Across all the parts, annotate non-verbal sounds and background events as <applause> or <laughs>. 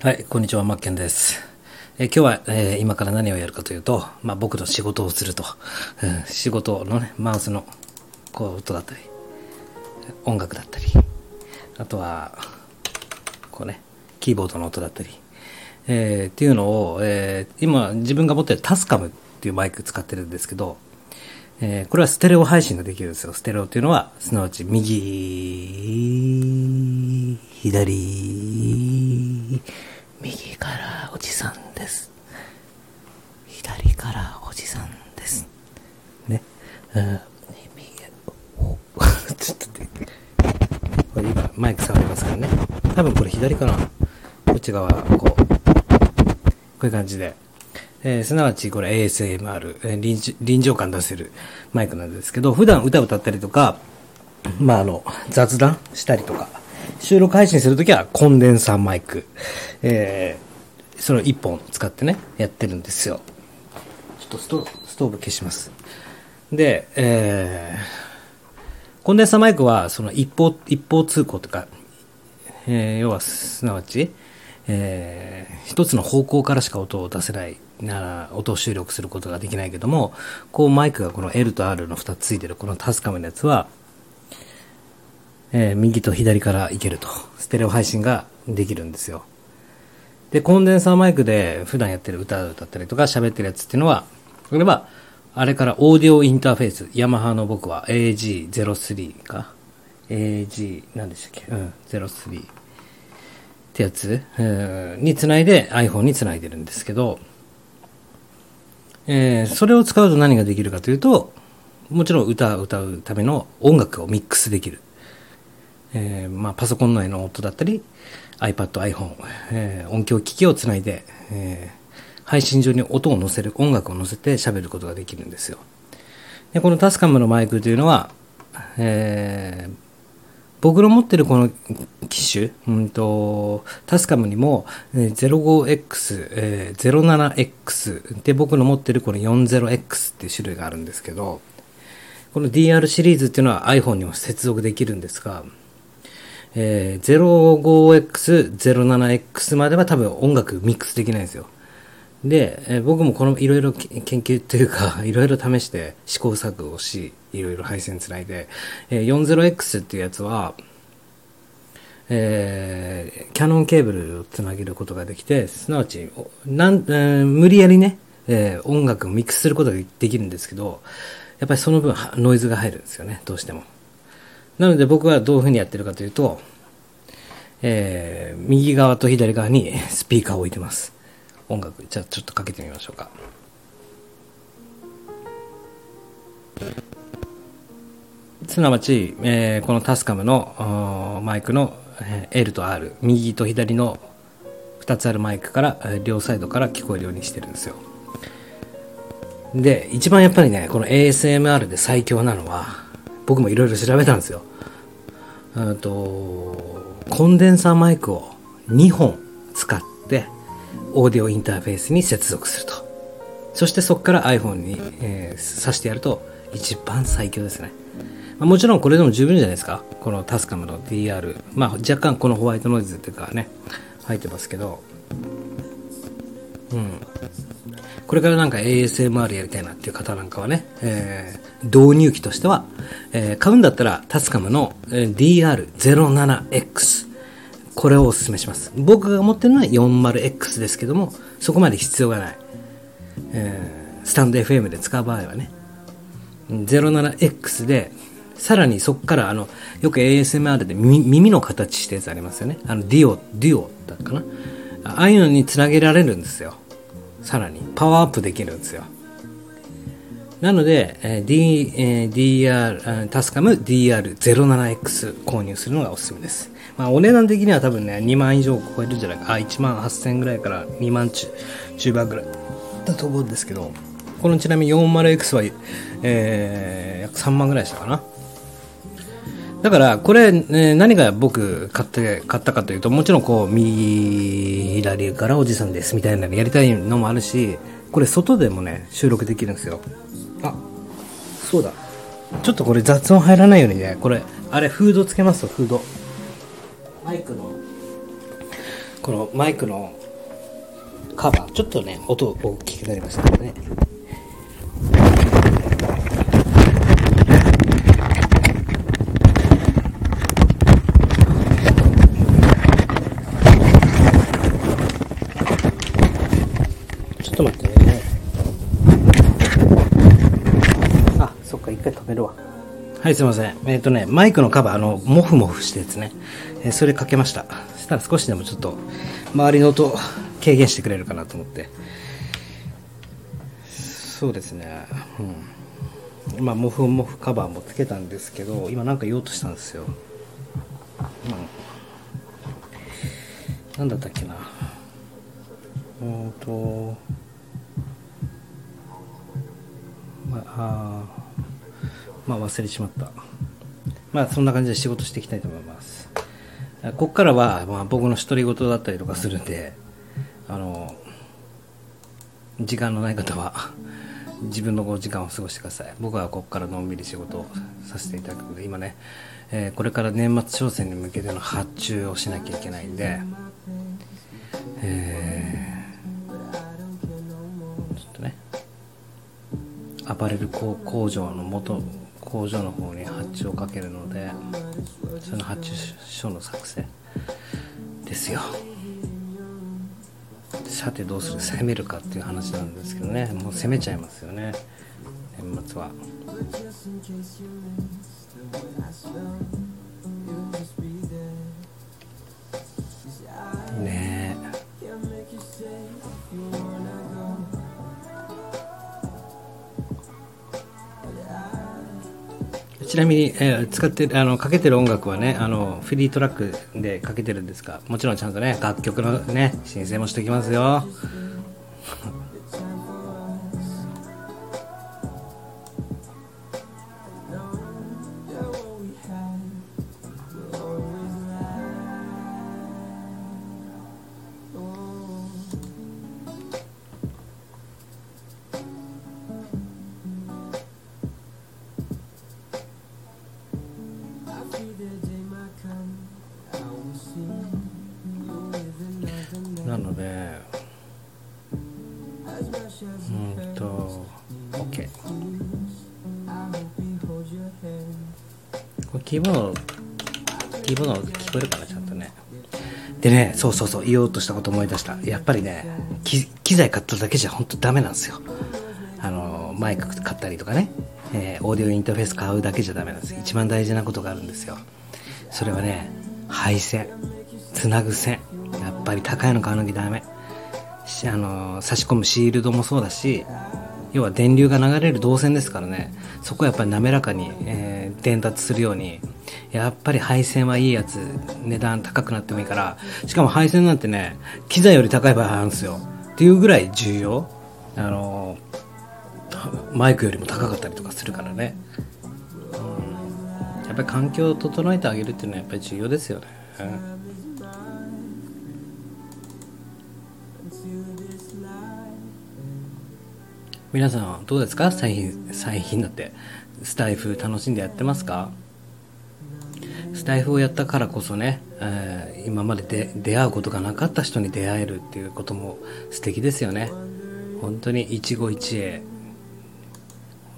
はい、こんにちは、マッケンです。え今日は、え今から何をやるかというと、ま僕の仕事をすると、う仕事のね、マウスのこう音だったり、音楽だったり、あとは、こうね、キーボードの音だったり、えっていうのを、え今自分が持ってるタスカムっていうマイク使ってるんですけど、えこれはステレオ配信ができるんですよ。ステレオっていうのは、すなわち右、左、右からおじさんです。左からおじさんです。ね。あ右、お、<laughs> ちょっと待って。これ今、マイク触りますからね。多分これ左かな。こっち側、こう、こういう感じで。えー、すなわちこれ ASMR、えー臨、臨場感出せる、マイクなんですけど、普段歌を歌ったりとか、まあ、の、雑談したりとか、収録配信する時はコンデンサーマイク、えー、それを1本使ってね、やってるんですよ。ちょっとストーブ消します。で、えコンデンサーマイクは、その一方、一方通行とか、えー、要は、すなわち、えー、つの方向からしか音を出せないな音を収録することができないけども、こうマイクがこの L と R の2つついてるこのタスカムのやつは、え右と左からいけると。ステレオ配信ができるんですよ。で、コンデンサーマイクで普段やってる歌歌ったりとか喋ってるやつっていうのは、例えばあれからオーディオインターフェース、ヤマハの僕は AG03 か。AG、何でしたっけうん、03。ってやつ、えー、につないで iPhone につないでるんですけど、えー、それを使うと何ができるかというと、もちろん歌を歌うための音楽をミックスできる。えー、まあ、パソコン内の音だったり、iPad、iPhone、えー、音響機器をつないで、えー、配信上に音を載せる、音楽を載せて喋ることができるんですよ。で、このタスカムのマイクというのは、えー、僕の持ってるこの機種、うんと、タスカムにも 05X、え 07X で僕の持ってるこの 40X っていう種類があるんですけど、この DR シリーズっていうのは iPhone にも接続できるんですが、え 05X、07X までは多分音楽ミックスできないんですよ。で、え僕もこのいろいろ研究というか、<laughs> いろいろ試して、試行錯誤し、いろいろ配線つないで、え 40X っていうやつは、えー、キャノンケーブルをつなげることができて、すなわち、なん、えー、無理やりね、えー、音楽をミックスすることができるんですけど、やっぱりその分ノイズが入るんですよね、どうしても。なので僕はどういうふうにやってるかというと、えー、右側と左側にスピーカーを置いてます。。音楽、じゃあちょっとかけてみましょうか。すなわち、えー、このタスカムのマイクの L と R、右と左の2つあるマイクから、両サイドから聞こえるようにしてるんですよ。で、一番やっぱりね、この ASMR で最強なのは、僕もいろいろ調べたんですよ。うんと、コンデンサーマイクを2本使って、オーディオインターフェースに接続すると。そしてそこから iPhone に、えー、挿してやると一番最強ですね。まもちろんこれでも十分じゃないですか。このタスカムの DR。まあ若干このホワイトノイズっていうかね、入ってますけど。うん。これからなんか ASMR やりたいなっていう方なんかはね、導入機としては、えー、買うんだったらタスカムの DR07X これをおすすめします僕が持ってるのは 40X ですけどもそこまで必要がない、えー、スタンド FM で使う場合はね 07X でさらにそこからあのよく ASMR で耳の形したやつありますよねあのディオディオだったかなああいうのにつなげられるんですよさらにパワーアップできるんですよなので、えー D えー、DR、タスカム DR07X 購入するのがおすすめです。まお値段的には多分ね、2万以上超えるんじゃないか。あ、1万8000円ぐらいから2万中、10倍ぐらいだと思うんですけど、このちなみに 40X は、え約3万ぐらいしたかな。だから、これ、ね、何が僕買って買ったかというともちろんこう右左からおじさんですみたいなのやりたいのもあるしこれ外でもね収録できるんですよあそうだちょっとこれ雑音入らないようにねこれあれフードつけますフードマイクのこのマイクのカバーちょっとね音大きくなりましたけどねちょっと待ってね。あ、そっか、一回止めるわ。はい、すいません。えっ、とね、マイクのカバー、あの、モフモフしたやつね、えそれかけました。そしたら少しでもちょっと、周りの音、軽減してくれるかなと思って。そうですね。うん。まモフモフカバーもつけたんですけど今何か言おうとしたんですよ、何だったっけなうんとまあ忘れちまったまあそんな感じで仕事していきたいと思いますこっからは、まあ、僕の独り言だったりとかするんであの時間のない方は自分のこ時間を過ごしてください僕はここからのんびり仕事をさせていただくので今ね、えこれから年末商戦に向けての発注をしなきゃいけないんで、えー、ちょっとねアパレル工場の元工場の方に発注をかけるのでその発注書の作成ですよさてどうする攻めるかっていう話なんですけどねもう攻めちゃいますよね年末はねえちなみに、使ってあのかけてる音楽はねあのフリートラックでかけてるんですがもちろんちゃんとね楽曲のね申請もしてきますよなのでうんと OK これキーボード聞こえるかなちゃんとねでねそうそうそう言おうとしたこと思い出したやっぱりね気機材買っただけじゃ本当ダメなんですよ。あの、マイク買ったりとかね、えオーディオインターフェース買うだけじゃダメなんです。一番大事なことがあるんですよ。それはね、配線、つなぐ線。やっぱり高いの買うのきダメ。あの、差し込むシールドもそうだし、要は電流が流れる導線ですからね、そこはやっぱり滑らかに、え伝達するように、やっぱり配線はいいやつ、値段高くなってもいいから、しかも配線なんてね、機材より高い場合あるんですよ。っていうぐらい重要。あの、マイクよりも高かったりとかするからね。うん、やっぱり環境を整えてあげるっていうのはやっぱり重要ですよね。皆さんどうですか最近、最近だって、スタイフ楽しんでやってますかスタイフをやったからこそね、え今まで出会うことがなかった人に出会えるっていうことも素敵ですよね。本当に一期一会。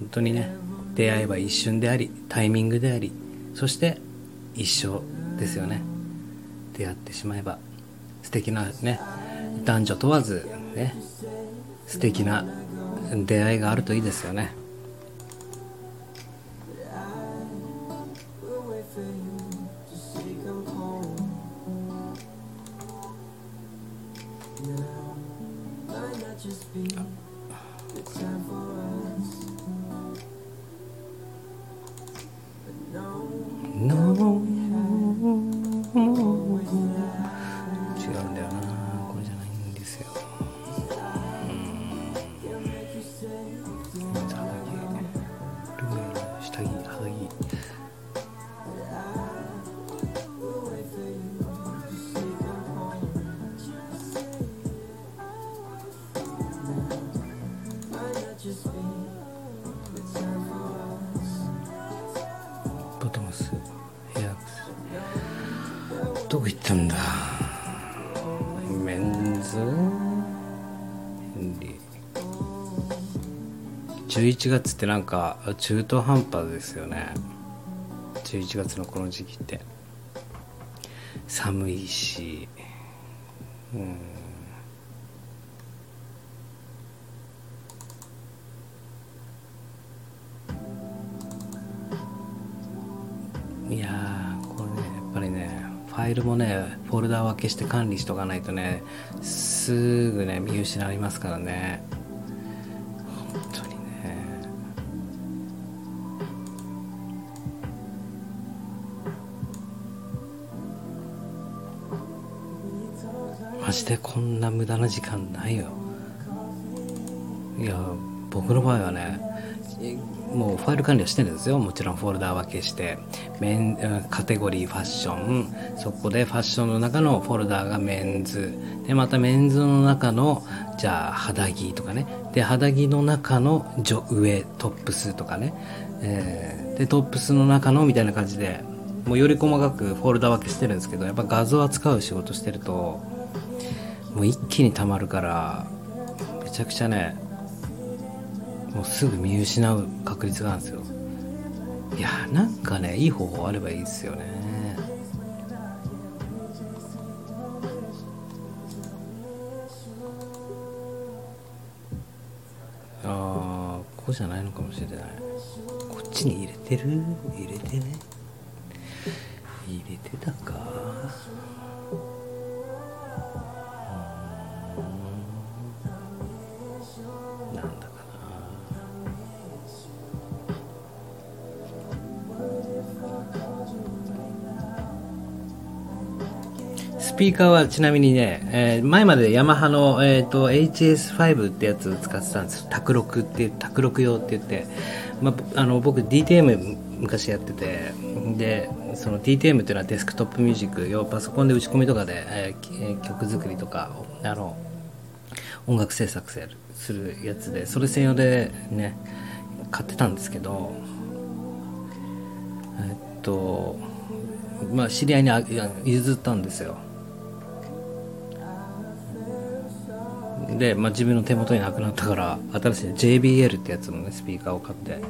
本当にね、出会えば一瞬であり、タイミングであり、そして一緒ですよね。出会ってしまえば素敵なね、男女問わずね、素敵な出会いがあるといいですよね。違うんだよなこれじゃないんですよ。ですようん肌着ルーいやどこ行ったんだメンズ11月ってなんか中途半端ですよね11月のこの時期って寒いしうんいやこれねやっぱりねファイルもねフォルダ分けして管理しとかないとねすぐね見失いますからね本当にねマジでこんな無駄な時間ないよいや僕の場合はねもうファイル管理はしてるんですよもちろんフォルダ分けしてメカテゴリーファッションそこでファッションの中のフォルダがメンズでまたメンズの中のじゃあ肌着とかねで肌着の中の上トップスとかね、えでトップスの中のみたいな感じでもうより細かくフォルダ分けしてるんですけどやっぱ画像扱う仕事してるともう一気に溜まるからめちゃくちゃねもうすぐ見失う確率があるんですよいやーなんかねいい方法あればいいっすよねああここじゃないのかもしれないこっちに入れてる入れてね入れてたかなんだかなスピーカーはちなみにね、前までヤマハの、HS5 ってやつ使ってたんですつ卓録ってあ、の僕 DTM 昔やっててその DTM っていうのはデスクトップミュージック要パソコンで打ち込みとかで、え曲作りとかあの音楽制作するやつでそれ専用でね買ってたんですけどえっとまあ知り合いに譲ったんですよで、ま自分の手元になくなったから新しい JBL ってやつもねスピーカーを買って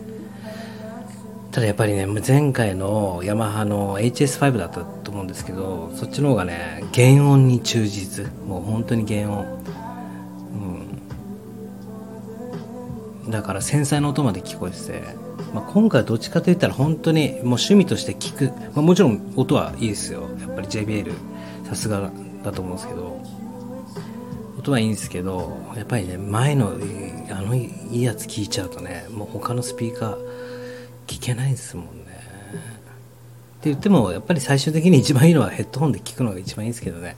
ただやっぱりね前回のヤマハの HS5 だったと思うんですけどそっちの方がね原音に忠実もう本当に原音うんだから繊細な音まで聞こえてて、まあ、今回どっちかといったら本当にもう趣味として聞く、まもちろん音はいいですよやっぱり JBL さすがだと思うんすけど音はいいんですけどやっぱりね前のあのいいやつ聞いちゃうとねもう他のスピーカー聞けないですもんねって言ってもやっぱり最終的に一番いいのはヘッドホンで聞くのが一番いいんですけどね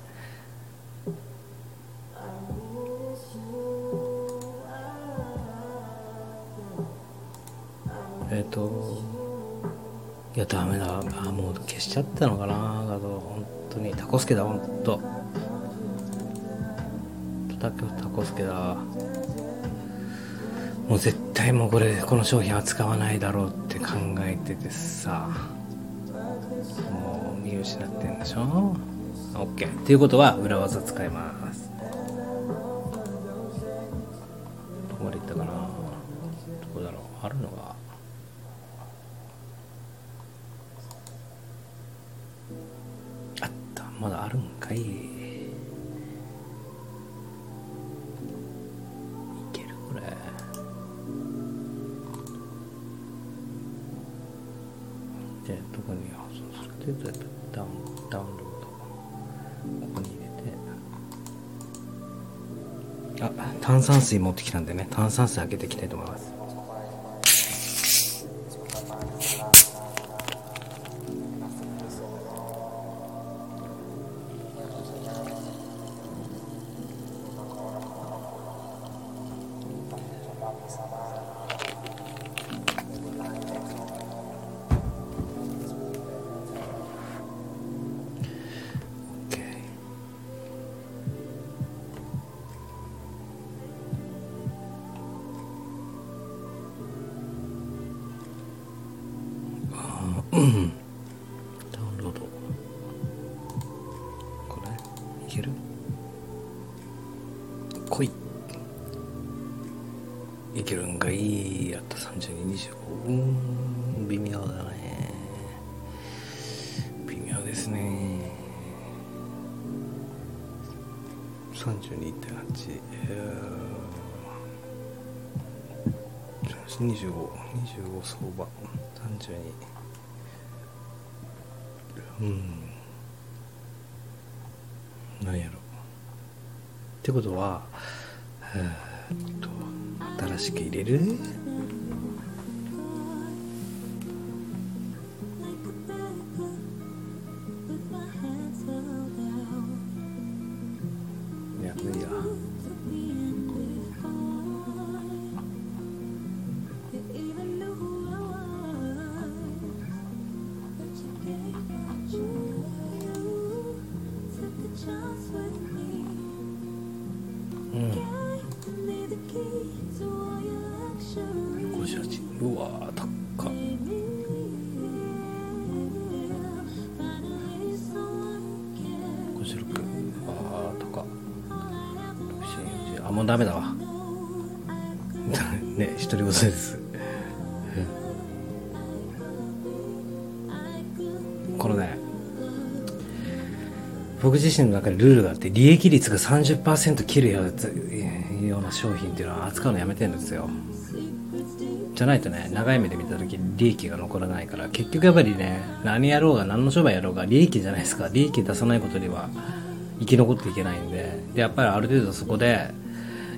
えっ、といやダメだもう消しちゃったのかなだと本当にタコスケだほんとタコスケだもう絶対もうこれこの商品は使わないだろうって考えててさもう見失ってんでしょ OK っていうことは裏技使いますどこまで行ったかなどこだろうあるのがあったまだあるんかいいけるこれじゃあどこに保存するってダウンダウンロードここに入れてあ炭酸水持ってきたんでね炭酸水開けていきたいと思いますケ k a y Uh, ダウンロードこれいける来いいけるんがいいやった32う、ん、微妙だね微妙ですね32.8えー、2525 25相場32うん何やろってことは、えっと、新しく入れるうん58うわー高っ56あー高っあもうダメだわね独り言ですえ。このね僕自身の中でルールがあって利益率が30%切るような商品っていうのは扱うのやめてんですよじゃないとね長い目で見た時利益が残らないから結局やっぱりね何やろうが何の商売やろうが利益じゃないですか利益出さないことには生き残っていけないんででやっぱりある程度そこで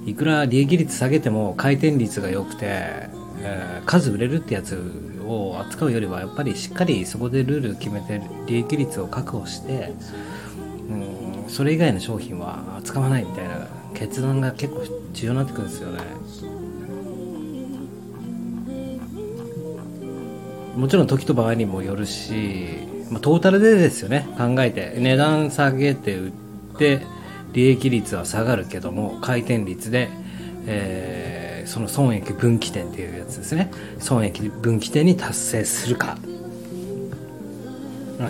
いくら利益率下げても回転率が良くてえー、数売れるってやつを扱うよりはやっぱりしっかりそこでルール決めて利益率を確保してうんそれ以外の商品は扱わないみたいな決断が結構重要になってくるんすよねもちろん時と場合にもよるし、まあ、トータルでですよね考えて値段下げて売って利益率は下がるけども回転率で、えその損益分岐点っていうやつですね損益分岐点に達成するか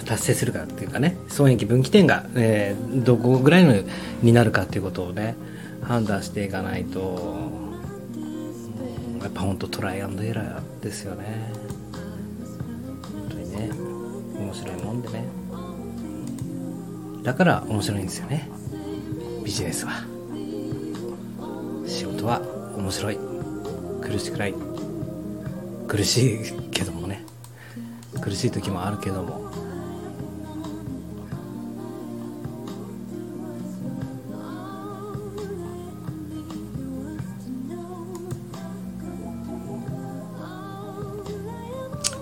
達成するかっていうかね損益分岐点が、えー、どこぐらいになるかっていうことをね判断していかないとやっぱ本当トライエラーですよね本当にね面白いもんでねだから面白いんですよねビジネスは仕事は面白い苦しくない苦しいけどもね苦しい時もあるけども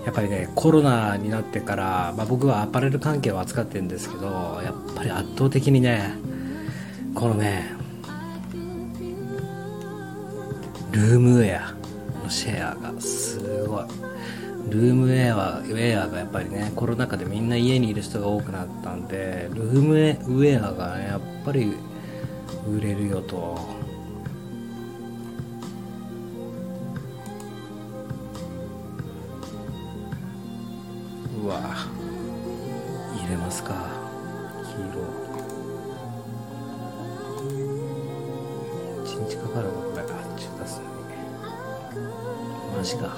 やっぱりねコロナになってから、ま僕はアパレル関係を扱ってるんですけどやっぱり圧倒的にねこのねルームウェアのシェアがすごいルームウェアウェアがやっぱりねコロナ禍でみんな家にいる人が多くなったんでルームウェアがやっぱり売れるよとうわ入れますか黄色1日かかるわこれあっち出すのにマジか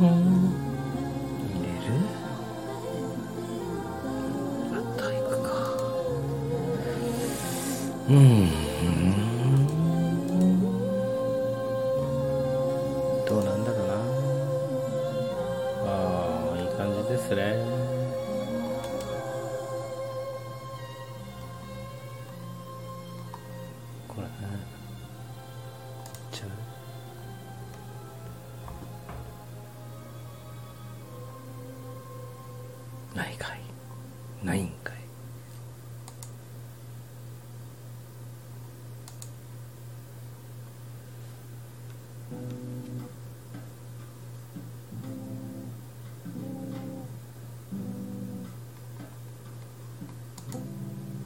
うん、入れるあ体育かうん、うん、どうなんだろうなああいい感じですねこれねちゃうないかいないんかい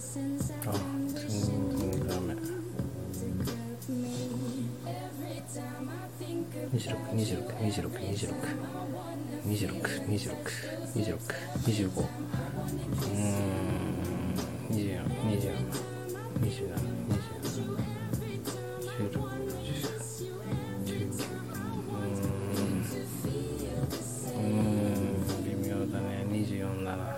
ああ、全然ダメ26262626262625うん2427272716うん微妙だね24だな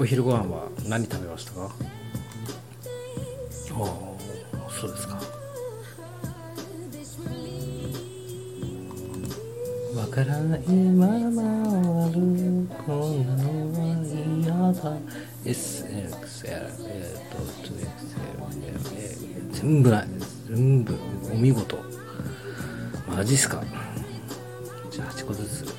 お昼ご飯は何食べましたかああそうですかわからないまま終わる。こんなのは嫌だ SXL えっと 2XL 全部ない全部お見事マジっすかじゃあ8個ずつ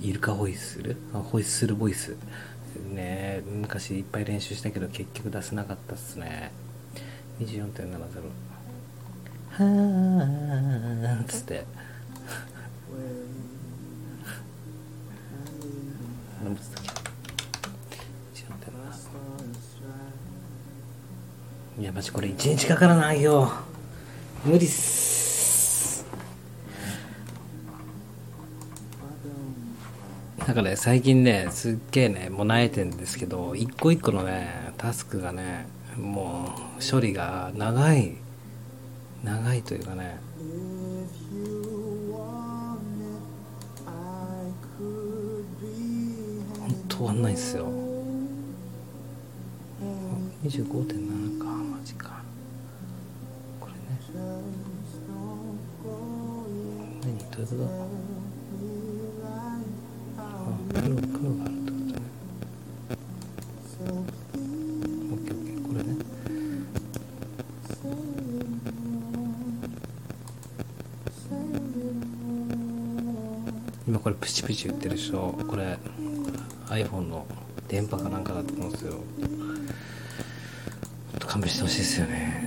イルカホイッスルホイッスルボイスね昔いっぱい練習したけど結局出せなかったっすね24.70はあつってあれもつったっけいや、マジこれ1日かからないよ。無理っす。だかね、最近ね、すっげえね、もう慣えてんですけど、一個一個のね、タスクがね、もう処理が長い、長いというかね、本当終わんないっすよ。25.7かマジかこれね何どういうことあ黒黒があるってことね OKOK これね今これプチプチ言ってる人これ iPhone の電波かなんかだと思うんですよちょっと勘弁してほしいですよね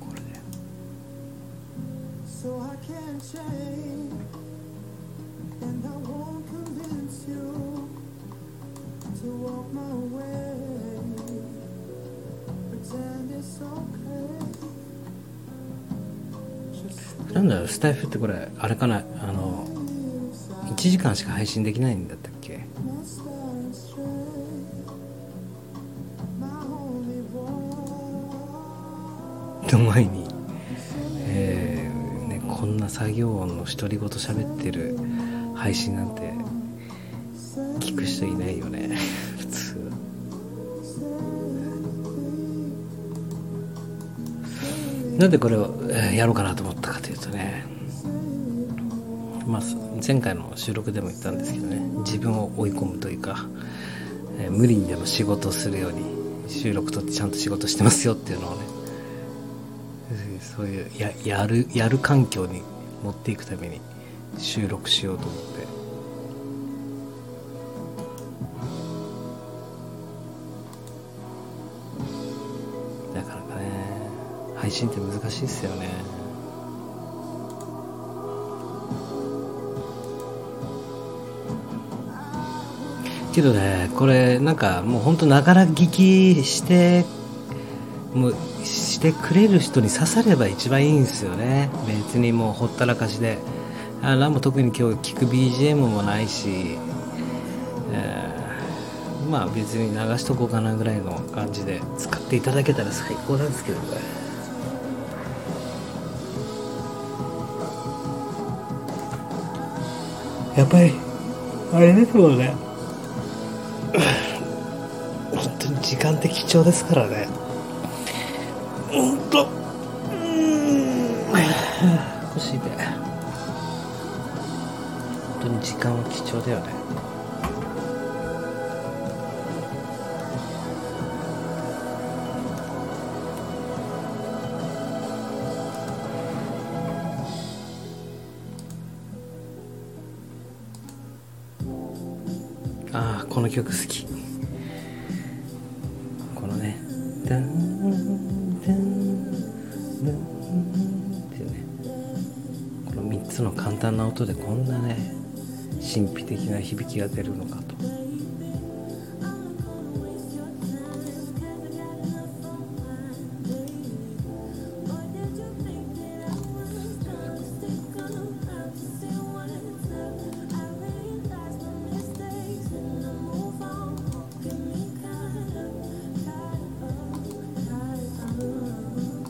これで、ね、so I can change and I won't convince you to walk my way pretend it's okay なんだろうスタイフってこれあれかなあの1時間しか配信できないんだったっけの前に、えーね、こんな作業音の独り言喋ってる配信なんて聞く人いないね <laughs> 普通なんでこれをやろうかなと思ったかというとねまあ前回の収録でも言っんでね自分を追い込むというか、えー、無理にでも仕事をするように収録とってちゃんと仕事してますよっていうのをねそういうややるやる環境に持っていくために収録しようと思って。配信って難しいっすよねけどねこれなんかもうほんとながら聞きしてもしてくれる人に刺されば一番いいんですよね別にもうほったらかしであラン特に今日聞く BGM もないし、えまあ別に流しとこうかなぐらいの感じで使使っていただけたら最高なんですけどねやっぱ本当に時間って貴重ですからね本当に時間は貴重だよねああこの曲好きこのね「ダンダンダン」っていうねこの3つの簡単な音でこんなね神秘的な響きが出るのかと。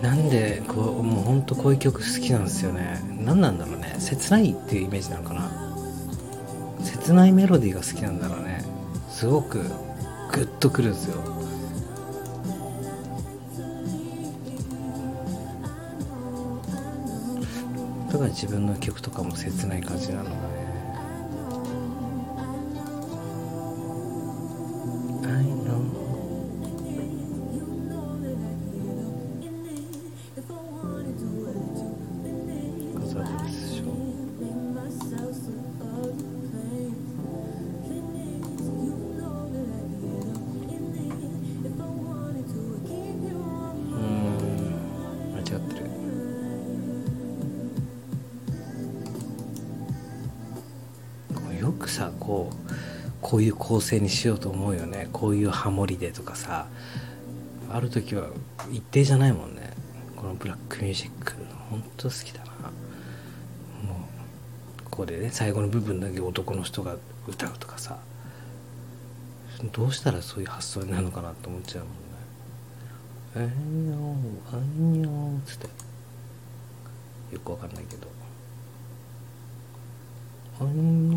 なんでこうもうほんとこういう曲好きなんですよね何なんだろうね切ないっていうイメージなのかな切ないメロディーが好きなんだろうねすごくグッとくるんですよだから自分の曲とかも切ない感じなのかねよくさこうこういう構成にしようと思うよねこういうハモリでとかさある時は一定じゃないもんねこのブラックミュージックほんと好きだなもうここでね最後の部分だけ男の人が歌うとかさどうしたらそういう発想になるのかなと思っちゃうもんね「えんよあんよ」つってよくわかんないけど「あんよ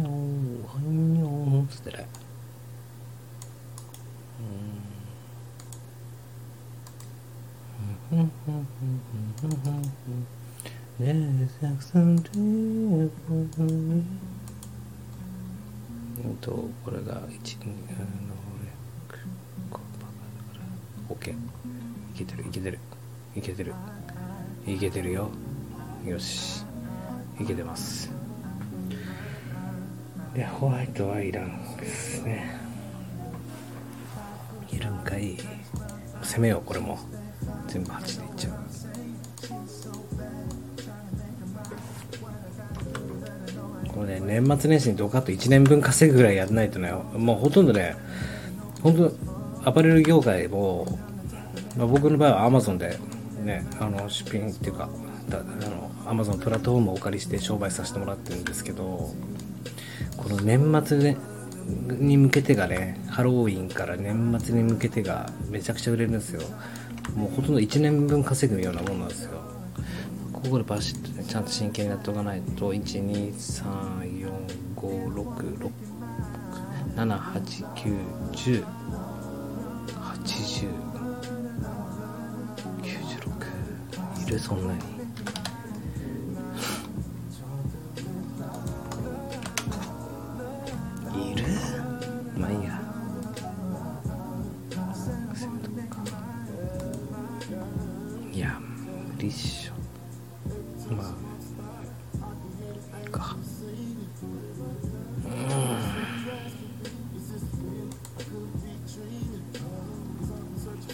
あんよ」つってねうん。とこれが1 2オッケーいけてるいけてるいけてるいけてるよよしいけてますでホワイトはいらんですねいるんかい攻めようこれも全部8でいっちゃうこれね年末年始にドカッと1年分稼ぐぐらいやらないとねもうほとんどね本当アパレル業界を、まあ、僕の場合はアマゾンでねあの出品っていうかあの Amazon プラットフォームをお借りして商売させてもらってるんですけどこの年末で、に向けてがねハロウィンから年末に向けてがめちゃくちゃ売れるんですよもうほとんど1年分稼ぐようなもんなんですよここでバシッとねちゃんと真剣にやっておかないと12345678910 80 80 96いるそんなにいるまあいいやいや無理っしょまあかうんう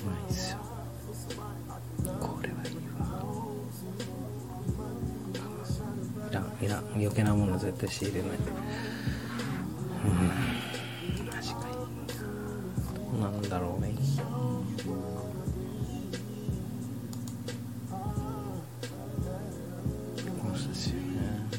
まいっすよ。これはいいわいらんいらん余計なもの絶対仕入れないうん確かになんだろうねお久しぶりね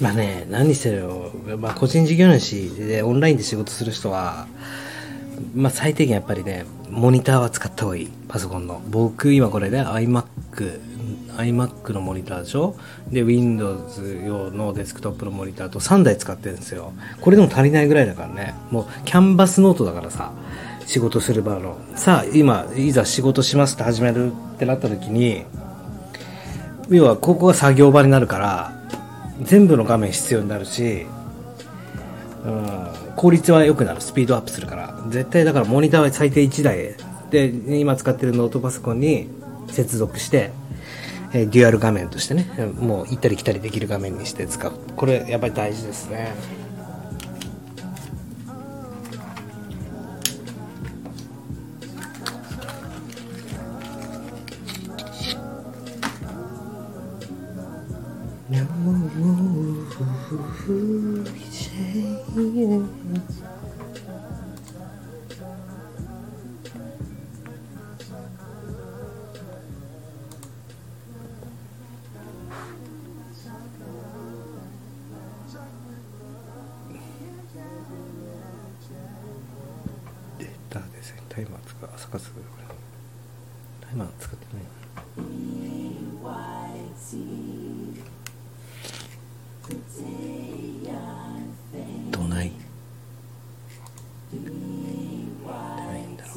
まあね、何にせよ、ま個人事業主でオンラインで仕事する人は、ま最低限やっぱりね、モニターは使った方がいい。パソコンの。僕、今これね、iMac、iMac のモニターでしょで、Windows 用のデスクトップのモニターと3台使ってるんですよ。これでも足りないぐらいだからね。もうキャンバスノートだからさ仕事する場のさあ今いざ仕事しますって始めるってなった時に要はここが作業場になるから全部の画面必要になるし、うん、効率は良くなるスピードアップするから絶対だからモニターは最低1台で今使ってるノートパソコンに接続して、デュアル画面としてねもう行ったり来たりできる画面にして使うこれやっぱり大事ですね <laughs> データですねタイマー使う朝活タイマー使ってないどないどないんだろう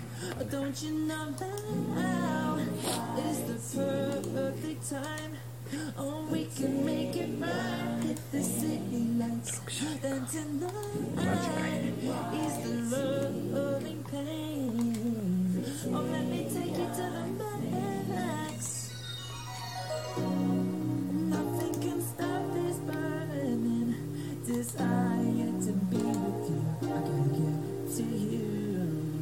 Oh, don't you know now is the perfect time? Oh, we can make it right. Hit the city lights. Then tonight is the loving pain. Oh, let me take you to the max. Nothing can stop this burning desire to be with you. I gotta get to you.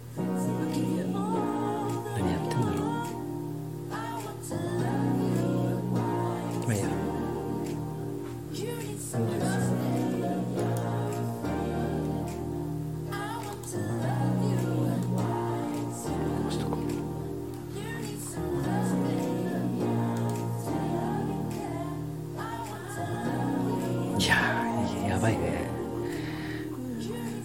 何やってんだろうまあいいやこうしとこういやーやばいね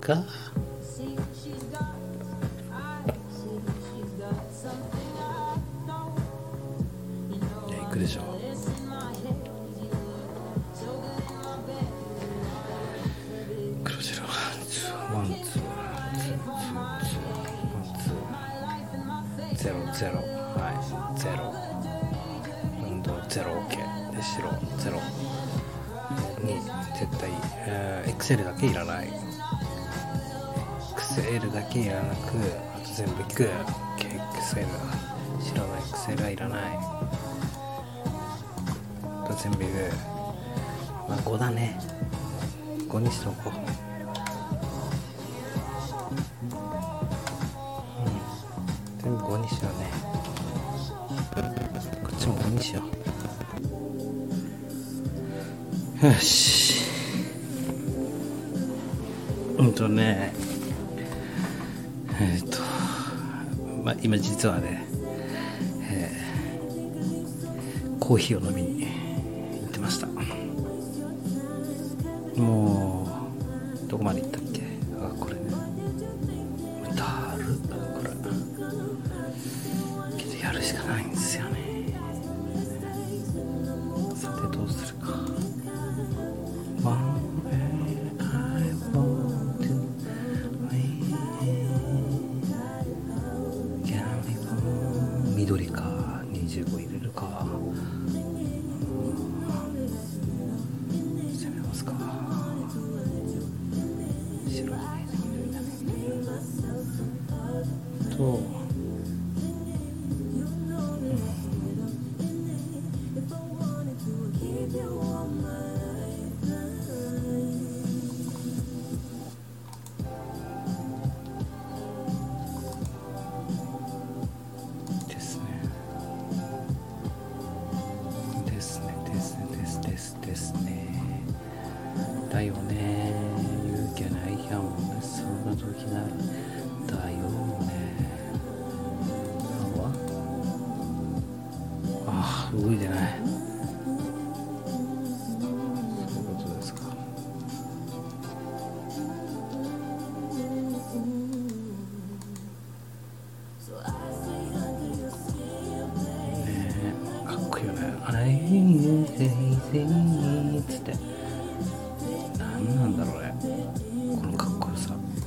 かいや行くでしょ黒白ワンツーワンツーゼロゼロはいゼロ運動ゼロ OK で白ゼロに絶対、えー、XL だけいらない XL だけいらなくあと全部いく KXL 白の XL はいらないと全部まあ5だね5にしとこうよしうんとねえっ、とまあ今実はねね、えコーヒーを飲みに行ってましたもうどこまで行ったっけあこれねだるこれけどやるしかないんですよねさてどうするか One way I want to はい。緑か25入れるか攻めますか白いがね緑だねと、うん、ででででですすす、す、す、ね。ね、ね。だよね。言うななない、や、んんそ時だよね。は。ああ動いてないそういうことですかねえかっこいいよね「あ I い m c い a z いっつって何なんだろうねこのかっこよさ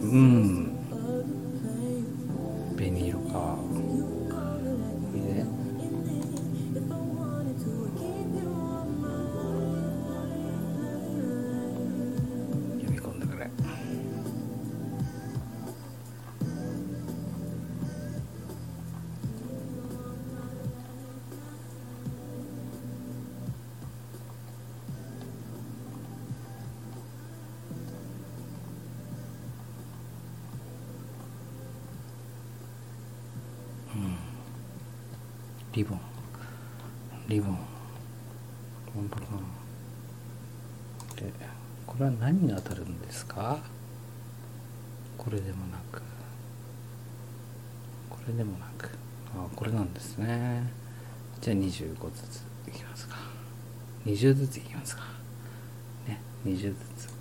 うん紅色かいいね読み込んでくれうん。リボンリボンボンボンでこれは何に当たるんですかこれでもなくこれでもなくあこれなんですねじゃあ25ずついきますか20ずついきますかね20ずつ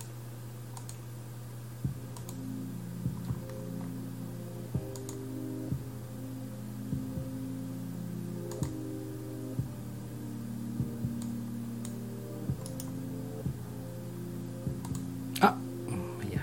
あ、いや。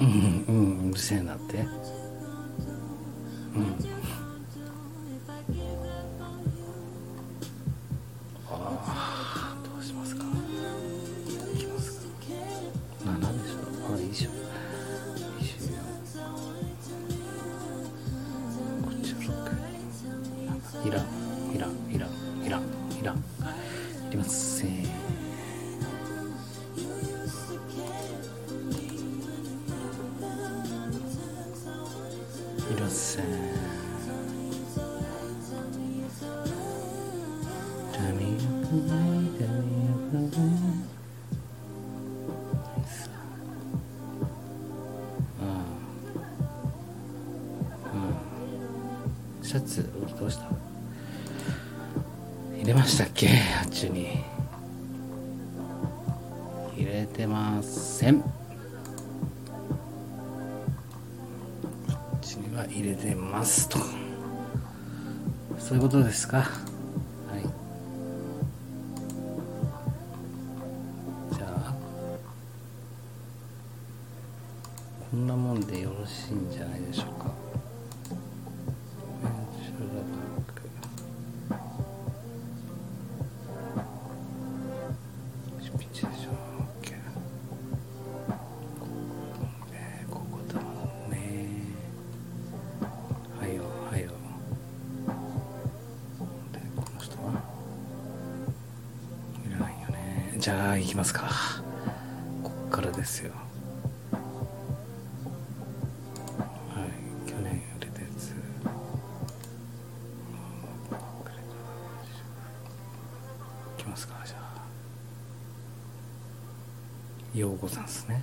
うん、うん、うん、うるせえなって。うん。ああ、どうしますか。いきますか。七でしょ。あ、いいでしょ。いいしょ。いらんいらんいらんいらんいらんいりませんいりませんダミーダミーダミーああ。うん、シャツどうした入れましたっけあっちに入れてませんあっちには入れてますとそういうことですかはいじゃあこんなもんでよろしいんじゃないでしょうかええ、ここだもんね。はよはよでこの人はいらないよねじゃあ行きますかこっからですよはい去年売れたやつ行きますかじゃあようござんすね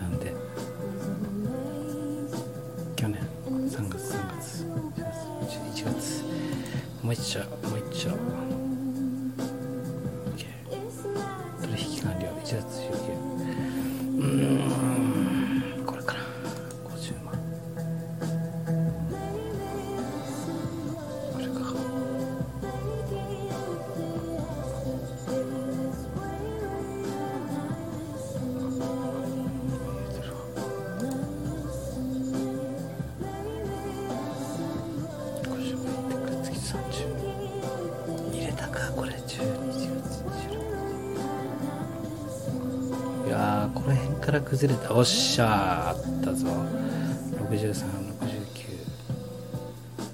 なんで去年3月3月1月もう一丁もう一丁 OK 取引完了1月19うんこれから50万これかいやこの辺から崩れたおっしゃーあったぞ6369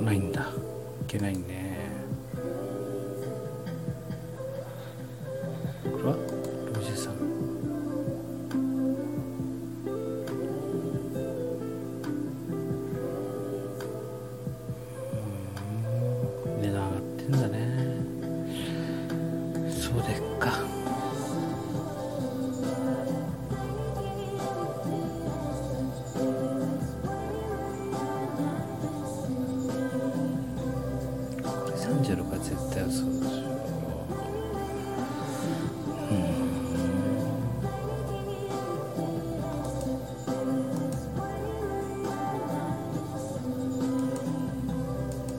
ないんだいけないねこれは63値段上がってんだねそうでっか36は絶対嘘でしょうん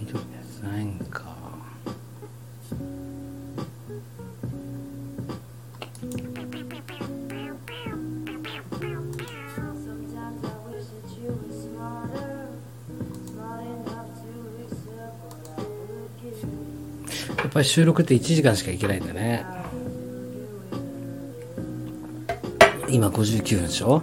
緑のやつないんかやっぱり収録って1時間しかいけないんだね今59分でしょ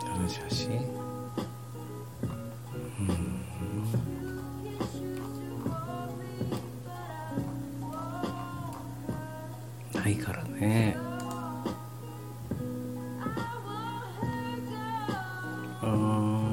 どの写真うんないからねああ。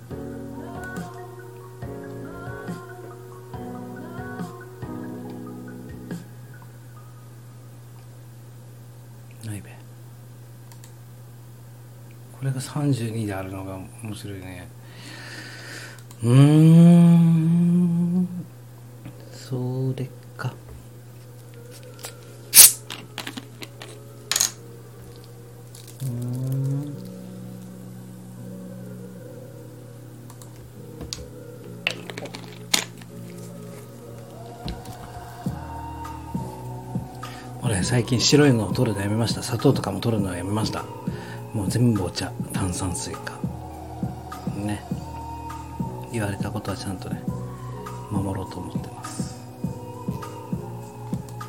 ないべこれが32であるのが面白いねうんそれかうん。俺最近白いのを取るのやめました砂糖とかも取るのはやめましたもう全部お茶炭酸水かね言われたことはちゃんとね守ろうと思ってます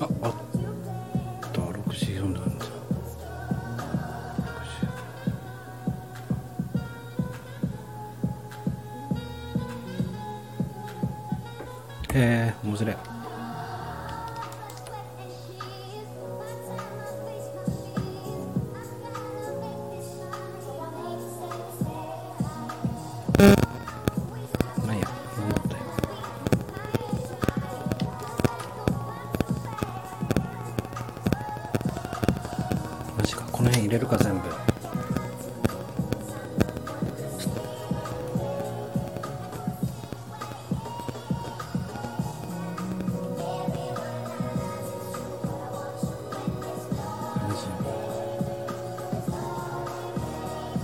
ああった64度なんだへええ、面白いなんや何だったよマジかこの辺入れるか全部マジ。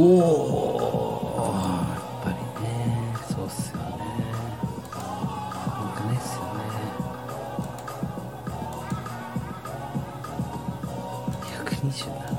おおやっぱりねそうっすよねん。くないっすよね127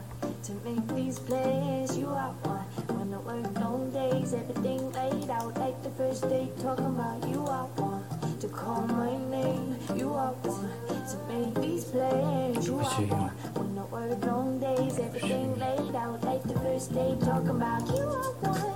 to make these plans. You are one. Wanna work long days, everything laid out like the first day. Talking about you are one to call my name. You are to make these plans. You are one. Wanna work long days, everything laid out like the first day. Talking about you are one.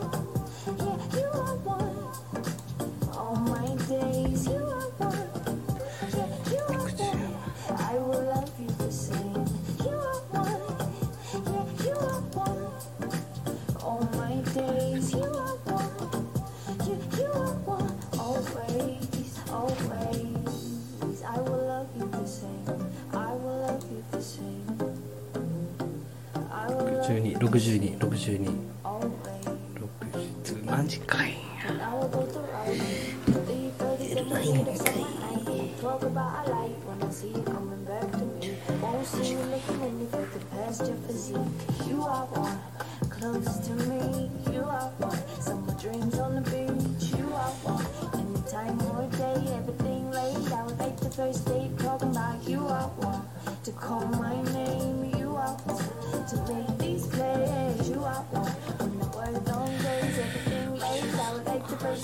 6262 0マジかいな。ないんかい。Talk about a life when I see you coming back to me. Won't see you looking in the past your physique. You are one, close to me. You are one. Summer dreams on the beach. You are one. Anytime or day, everything late. I would like the first date. Talking about you are one. To call my name. You are one. To make these plays. You are one. When the world don't days, everything late. I would like the first